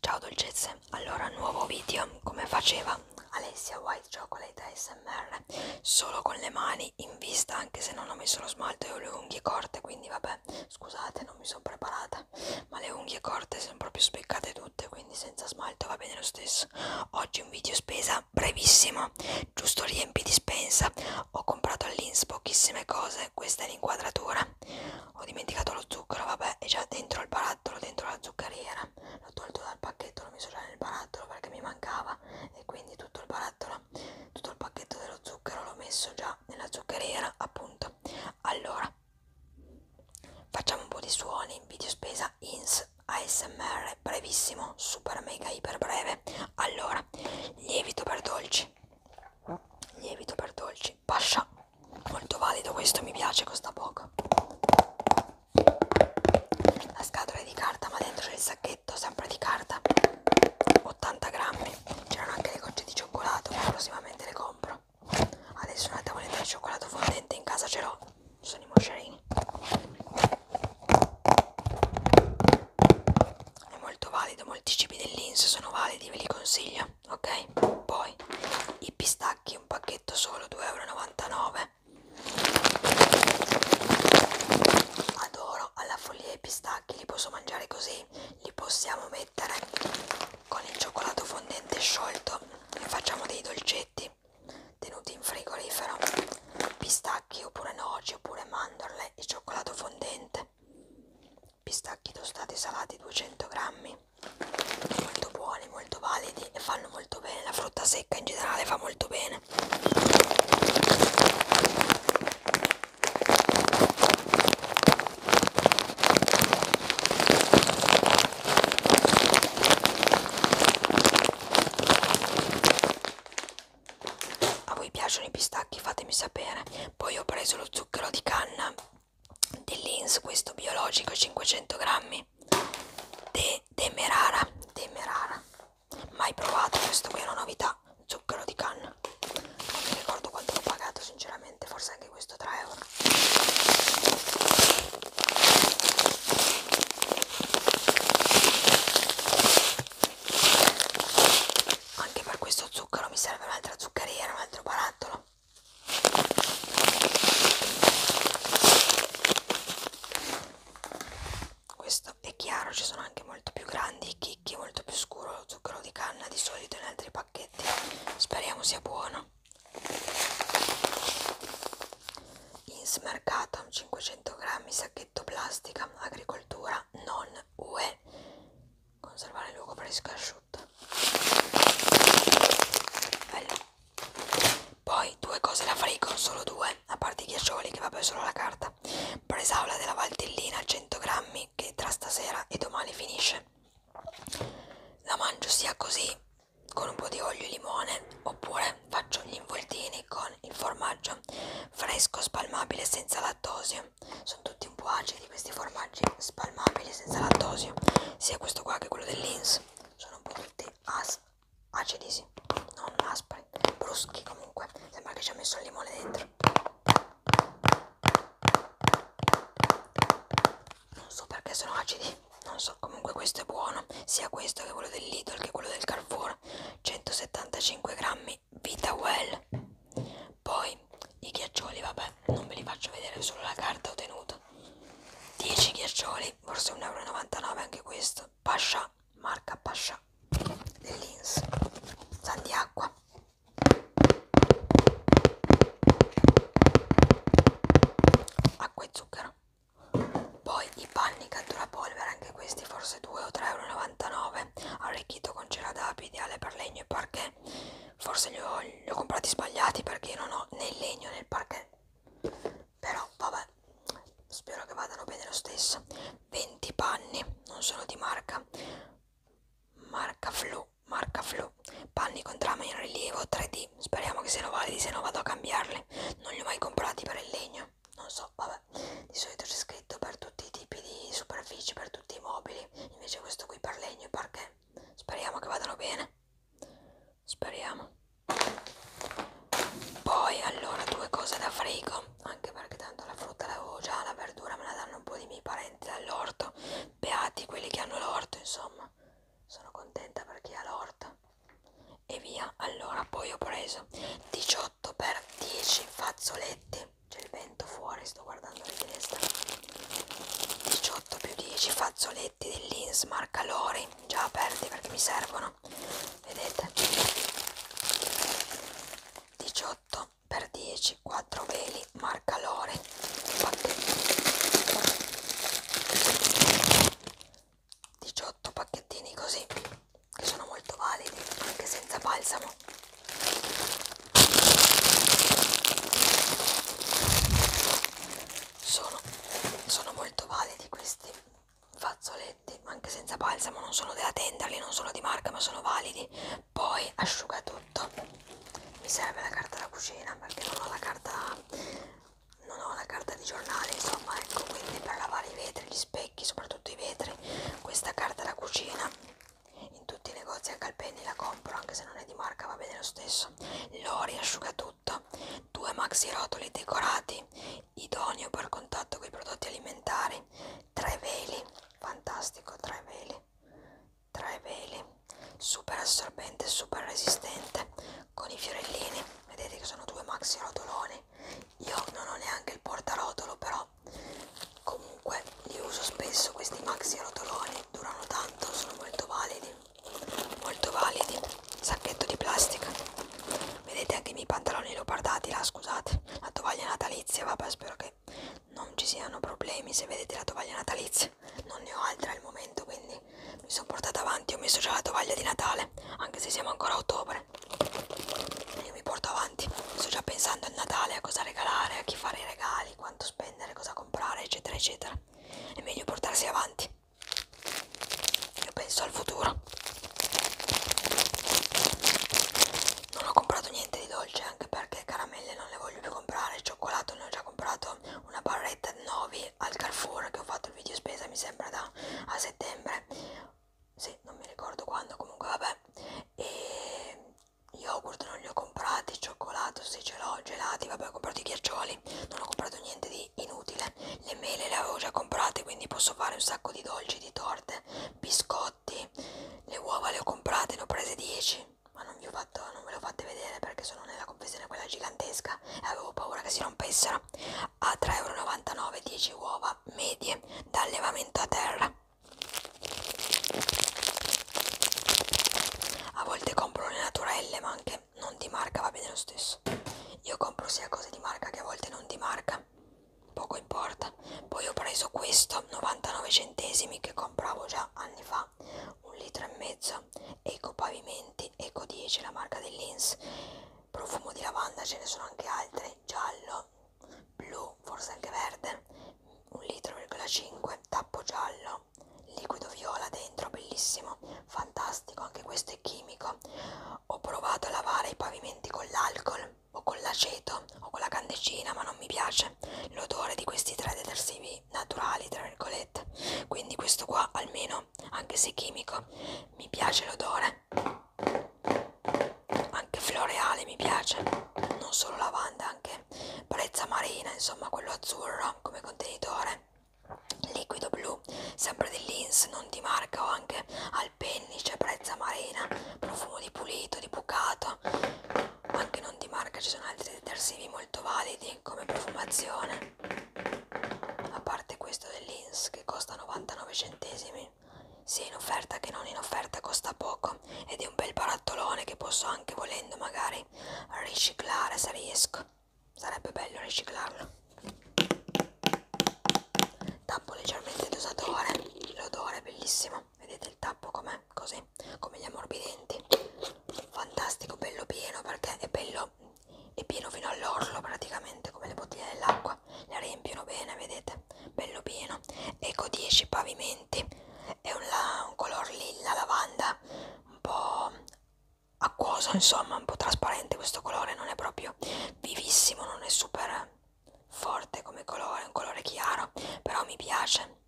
Ciao dolcezze, allora nuovo video come faceva Alessia White Chocolate ASMR solo con le mani in vista anche se non ho messo lo smalto e ho le unghie corte quindi vabbè scusate non mi sono preparata ma le unghie corte sono proprio spiccate due asciutte quindi senza smalto va bene lo stesso oggi un video spesa brevissimo giusto riempi dispensa ho comprato all'ins pochissime cose questa è l'inquadratura ho dimenticato lo zucchero vabbè è già dentro il barattolo dentro la zuccheriera l'ho tolto dal pacchetto l'ho messo già nel barattolo perché mi mancava e quindi tutto il barattolo tutto il pacchetto dello zucchero l'ho messo già nella zuccheriera appunto allora Facciamo un po' di suoni, video spesa, INS, ASMR, brevissimo, super mega iper breve. Allora, lievito per dolci, lievito per dolci, pascia, molto valido questo, mi piace, costa poco. La scatola è di carta, ma dentro c'è il sacchetto, sempre di carta, 80 grammi. C'erano anche le gocce di cioccolato, prossimamente le compro adesso una tavoletta di cioccolato fondente in casa ce l'ho sono i moscerini è molto valido molti cibi dell'ins sono validi ve li consiglio ok poi i pistacchi un pacchetto solo 2,99 euro adoro alla follia i pistacchi li posso mangiare così li possiamo mettere con il cioccolato fondente sciolto ne facciamo dei dolcetti tenuti in frigorifero, pistacchi oppure noci oppure mandorle e cioccolato fondente. Pistacchi tostati salati 200 grammi, molto buoni, molto validi e fanno molto bene. La frutta secca in generale fa molto bene a voi piacciono i pistacchi fatemi sapere poi ho preso lo zucchero di canna dell'ins questo biologico 500 grammi de demerara demerara mai provato questo qui è una novità zucchero di canna non mi ricordo quanto l'ho pagato sinceramente forse anche questo 3 euro anche per questo zucchero mi serve un'altra zuccheriera un altro barattolo questo è chiaro ci sono anche molto più grandi chicchi molto più scuro zucchero di canna di solito in altri pacchetti speriamo sia buono Insmercato 500 grammi sacchetto plastica agricoltura non UE conservare il luogo fresco e asciutto Bello. poi due cose da frigo solo due a parte i ghiaccioli che vabbè solo la carta bresaola della valtellina 100 grammi giorni che tra stasera e domani finisce. La mangio sia così, con un po' di olio e limone, oppure faccio gli involtini con il formaggio fresco spalmabile senza lattosio. Sono tutti un po' acidi questi formaggi spalmabili senza lattosio, sia questo qua che quello dell'Ins. Sono un po' tutti as acidi, sì, non aspri, bruschi comunque. Sembra che ci ha messo il limone dentro non so perché sono acidi non so comunque questo è buono sia questo che quello del Lidl che quello del Carrefour 175 grammi Vita Well poi i ghiaccioli vabbè non ve li faccio vedere solo la carta ho tenuto 10 ghiaccioli forse 1,99 euro anche questo Pascia marca Pascia dell'Ins Sandiacqua acqua e zucchero poi i panni catturapolvere anche questi forse 2 o 3,99 euro arricchito con cera d'api ideale per legno e parquet forse li ho, li ho comprati sbagliati perché io non ho né il legno né il parquet però vabbè spero che vadano bene lo stesso 20 panni non sono di marca Marca Flu, marca Flu. Panni con trama in rilievo 3D. Speriamo che siano validi, se no vado a cambiarli. Non li ho mai comprati per il legno. Non so, vabbè. Di solito c'è scritto per tutti i tipi di superfici, per tutti i mobili. Invece questo qui per legno e parquet. Speriamo che vadano bene. Speriamo. Poi allora due cose da frigo anche perché tanto la frutta l'avevo già, la verdura me la danno un po' di miei parenti dall'orto, beati quelli che hanno l'orto, insomma, sono contenta per chi ha l'orto. E via, allora poi ho preso 18 per 10 fazzoletti, c'è il vento fuori, sto guardando la finestra, 18 più 10 fazzoletti dell'Ins marca Lori, già aperti perché mi servono, vedete? 18 per 10 4 veli marca Lore pacchettini 18 pacchettini così che sono molto validi anche senza balsamo sono, sono molto validi questi fazzoletti anche senza balsamo non sono della Tenderly non sono di marca ma sono validi poi asciugatutto mi serve la carta da cucina perché non ho la carta non ho la carta di giornale insomma ecco quindi per lavare i vetri gli specchi soprattutto i vetri questa carta da cucina in tutti i negozi a Calpenni la compro anche se non è di marca va bene lo stesso l'ho riasciuga tutto due maxi rotoli decorati idoneo per contatto con i prodotti alimentari tre veli fantastico tre veli tre veli super assorbente super resistente con i fiorellini vedete che sono due maxi rotoloni io non ho neanche il portarotolo però comunque li uso spesso questi maxi rotoloni durano tanto sono molto validi molto validi sacchetto di plastica vedete anche i miei pantaloni li ho guardati là scusate la tovaglia natalizia vabbè spero che non ci siano problemi se vedete la tovaglia natalizia non ne ho altra al momento quindi mi sono portata avanti ho messo già la tovaglia di Natale anche se siamo ancora a ottobre io mi porto avanti sto già pensando al Natale a cosa regalare a chi fare i regali quanto spendere cosa comprare eccetera eccetera è meglio portarsi avanti io penso al futuro non ho comprato niente di dolce anche perché caramelle non le voglio più comprare cioccolato ne ho già comprato una barretta di 9 al Carrefour che ho fatto il video spesa mi sembra da a settembre sì non mi ricordo quando comunque vabbè e yogurt non li ho comprati cioccolato sì ce l'ho gelati vabbè ho comprato i ghiaccioli non ho comprato niente di inutile le mele le avevo già comprate quindi posso fare un sacco di dolci di torte biscotti prodotti. Le uova le ho comprate, ne ho prese 10. Ma non, vi ho fatto, non ve le ho fatte vedere perché sono nella confezione quella gigantesca e avevo paura che si rompessero. A 3,99 euro 10 uova medie da allevamento a terra. A volte compro le naturelle ma anche non di marca va bene lo stesso. Io compro sia cose di marca che a volte non di marca vabbè, poco importa. Poi ho preso questo 99 centesimi che compravo già anni fa, un litro e mezzo, Eco Pavimenti, Eco 10, la marca dell'Ins, profumo di lavanda, ce ne sono anche altri, giallo, blu, forse anche verde, un litro e 5, tappo giallo, liquido viola dentro, bellissimo, fantastico, anche questo è chimico. Ho provato a lavare i pavimenti con l'alcol o con l'aceto o con la candecina, ma non mi piace l'odore di questi tre detersivi naturali, tra virgolette. Quindi questo qua almeno, anche se chimico, mi piace l'odore. Anche floreale mi piace, non solo lavanda, anche brezza marina, insomma quello azzurro come contenitore liquido blu giù, sempre di Linz, non di marca o anche al pennice, prezza marina, profumo di pulito, di bucato, anche non di marca ci sono altri detersivi molto validi come profumazione, a parte questo dell'Inz che costa 99 centesimi, sia in offerta che non in offerta costa poco ed è un bel barattolone che posso anche volendo magari riciclare se riesco, sarebbe bello riciclarlo tappo leggermente dosatore l'odore è bellissimo vedete il tappo com'è così come gli ammorbidenti fantastico bello pieno perché è bello è pieno fino all'orlo praticamente come le bottiglie dell'acqua le riempiono bene vedete bello pieno eco 10 pavimenti è un, la, un color lilla lavanda un po' acquoso insomma un po' trasparente questo colore non è proprio vivissimo non è super forte come colore è un colore chiaro però mi piace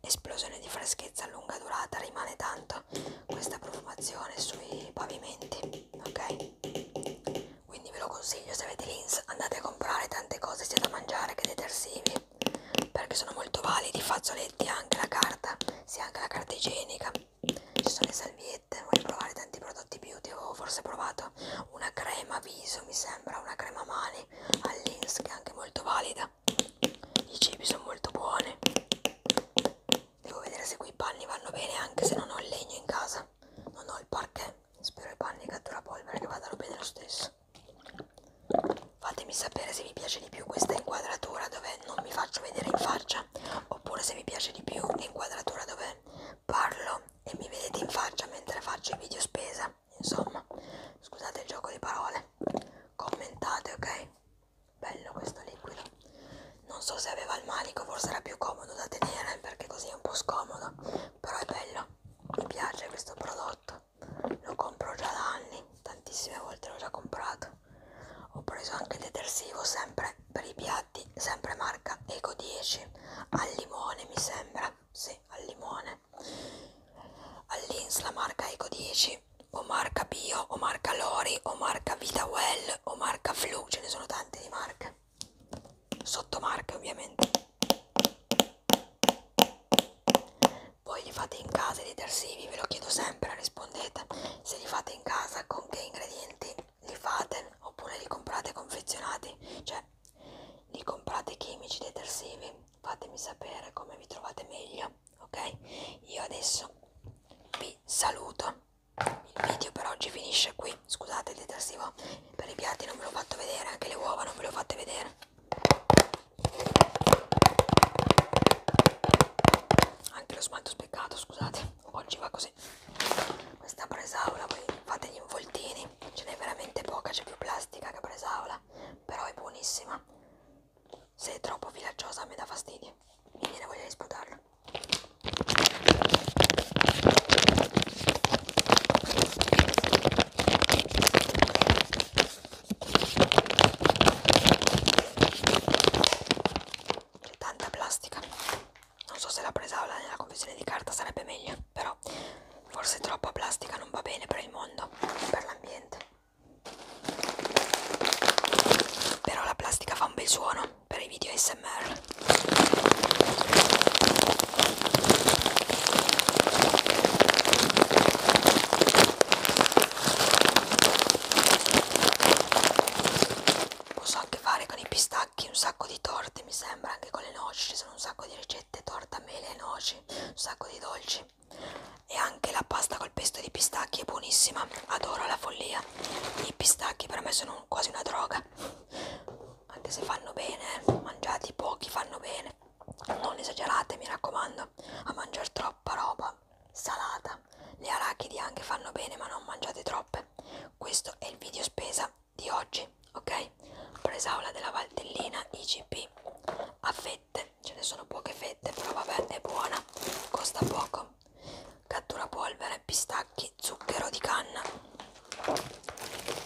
esplosione di freschezza a lunga durata rimane tanto questa profumazione sui pavimenti ok quindi ve lo consiglio se avete l'ins andate a comprare tante cose sia da mangiare che detersivi perché sono molto validi fazzoletti anche la carta sia anche la carta igienica ci sono le salviette, voglio provare tanti prodotti beauty, avevo forse provato una crema viso, mi sembra, una crema mani all'Ins che è anche molto valida, i cibi sono molto buoni, devo vedere se quei panni vanno bene anche se non ho il legno in casa, non ho il parquet, spero i panni cattura polvere che vadano bene lo stesso. Fatemi sapere se vi piace di più questa inquadratura dove non mi faccio vedere in faccia oppure se vi piace di più l'inquadratura dove parlo e mi vedete in faccia mentre faccio i video spesa insomma scusate il gioco di parole commentate ok bello questo liquido non so se aveva il manico forse era più comodo da tenere perché così è un po' scomodo però è bello mi piace questo prodotto lo compro già da anni tantissime volte l'ho già comprato ho preso anche il detersivo sempre per i piatti sempre marca Eco 10 al limone mi sembra sì, al limone all'ins la marca Eco 10 o marca Bio o marca Lori o marca VitaWell o marca Flu ce ne sono tante di marche sottomarche ovviamente voi li fate in casa i detersivi ve lo chiedo sempre rispondete se li fate in casa con che ingredienti presenti li fate oppure li comprate confezionati cioè li comprate chimici detersivi fatemi sapere come vi trovate meglio ok io adesso vi saluto il video per oggi finisce qui scusate il detersivo per i piatti non ve l'ho fatto vedere anche le uova non ve le ho fatte vedere anche lo smalto speccato scusate oggi va così questa presaula voi fate gli involtini ce n'è veramente poca c'è più plastica che presaula però è buonissima se è troppo filacciosa mi dà fastidio mi viene voglia di sputarla tanta plastica non so se l'ha presa nella confezione di carta sarebbe meglio però forse troppa plastica non va bene per il mondo per l'ambiente però la plastica fa un bel suono per i video ASMR Posso anche fare con i pistacchi un sacco di torte, mi sembra, anche con le noci, ci sono un sacco di ricette, torta, mele, noci, un sacco di dolci. E anche la pasta col pesto di pistacchi è buonissima, adoro la follia. I pistacchi per me sono quasi una droga, anche se fanno bene, eh. mangiati pochi fanno bene. Non esagerate, mi raccomando, a mangiare troppo troppa roba salata. Le arachidi anche fanno bene, ma non mangiate troppe. Questo è il video spesa di oggi, ok? Presaula della Valtellina IGP a fette, ce ne sono poche fette, però vabbè, è buona, costa poco. Cattura polvere, pistacchi, zucchero di canna.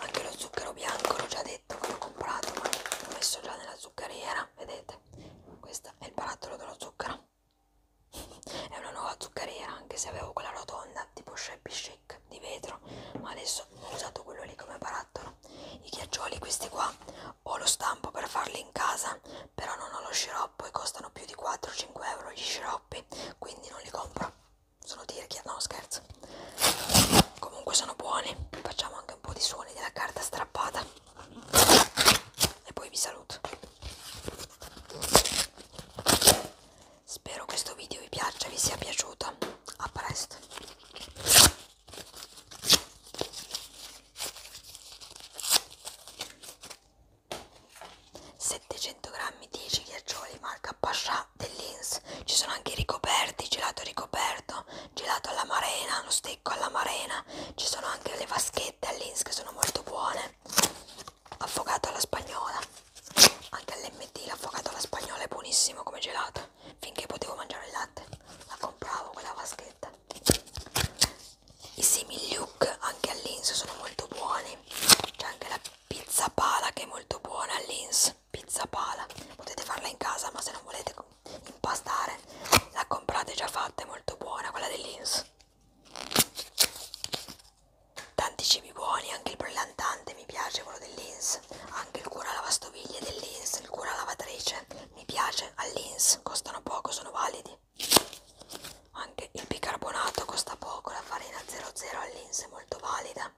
Anche lo zucchero bianco, l'ho già detto che l'ho comprato, ma l'ho messo già nella zuccheriera, vedete? Guardate, questo è il barattolo della zucchera. è una nuova zuccheriera, anche se avevo quella rotonda tipo Shappy Shake di vetro, ma adesso ho usato quello lì come barattolo. I ghiaccioli, questi qua, ho lo stampo per farli in casa, però non ho lo sciroppo e costano più di 4-5 euro gli sciroppi, quindi non li compro. Sono tirchia, no scherzo. Comunque sono buoni, facciamo anche un po' di suoni della carta strappata e poi vi saluto spero questo video vi piaccia vi sia piaciuto a presto Settecento grammi 10 ghiaccioli marca Pascià dell'Inns. Ci sono anche i ricoperti, gelato ricoperto, gelato alla marena, lo steak secco alla marena, ci sono anche le vaschette all'ins che sono molto buone, affogato alla spagnola, anche all'MT l'affogato alla spagnola è buonissimo come gelato, finché potevo mangiare il latte la compravo quella vaschetta. I similiuk anche all'ins sono molto buoni, c'è anche la pizza pala che è molto buona all'ins, pizza pala, potete farla in casa ma se non volete impastare la comprate già fatta è molto buona quella dell'Inns tanti cibi buoni anche il brillantante mi piace quello dell'Inns anche il cura lavastoviglie dell'Inns il cura lavatrice mi piace all'Inns costano poco sono validi anche il bicarbonato costa poco la farina 00 all'Inns è molto valida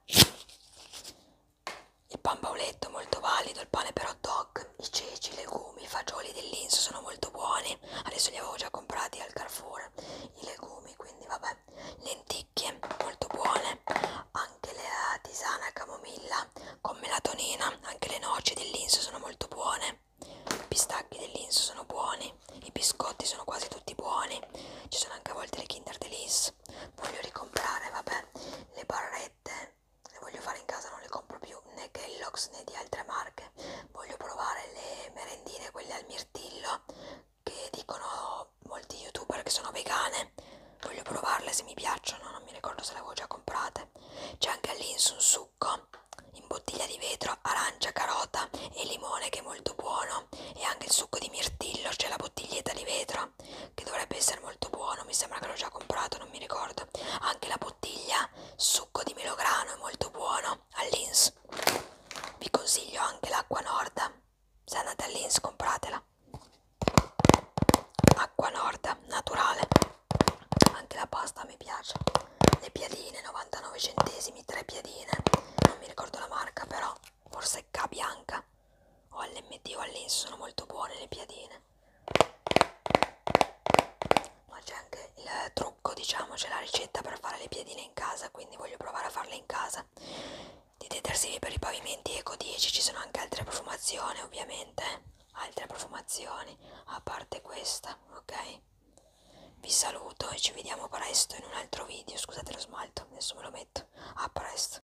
il pan bauletto molto valido, il pane per hot dog, i ceci, i legumi, i fagioli dell'Inso sono molto buoni. Adesso li avevo già comprati al Carrefour, i legumi, quindi vabbè. Lenticchie molto buone, anche la eh, tisana camomilla con melatonina, anche le noci dell'Inso sono molto buone. I pistacchi dell'Inso sono buoni, i biscotti sono quasi tutti buoni. Ci sono anche a volte le Kinder Delice. Voglio ricomprare, vabbè, le barrette le voglio fare in casa, non le compro più né Kellogg's né di altre marche. Voglio provare le merendine, quelle al mirtillo, che dicono molti youtuber che sono vegane. Voglio provarle se mi piacciono, non mi ricordo se le avevo già comprate. C'è anche all'ins un succo in bottiglia di vetro, arancia, carota e limone che è molto buono. E anche il succo di mirtillo, c'è la bottiglietta di vetro Coca-Cola che dovrebbe essere molto buono, mi sembra che l'ho già comprato, non mi ricordo. Anche la bottiglia succo di melograno è molto buono all'Inns. Vi consiglio anche l'acqua Norda. Se andate all'Inns compratela. Acqua Norda naturale. Anche la pasta mi piace. Le piadine 99 centesimi, tre piadine. Non mi ricordo la marca però, forse K bianca o all'MT o all'INS sono molto buone le piadine ma c'è anche il trucco diciamo c'è la ricetta per fare le piadine in casa quindi voglio provare a farle in casa di detersivi per i pavimenti eco 10 ci sono anche altre profumazioni ovviamente eh? altre profumazioni a parte questa ok vi saluto e ci vediamo presto in un altro video scusate lo smalto adesso me lo metto a presto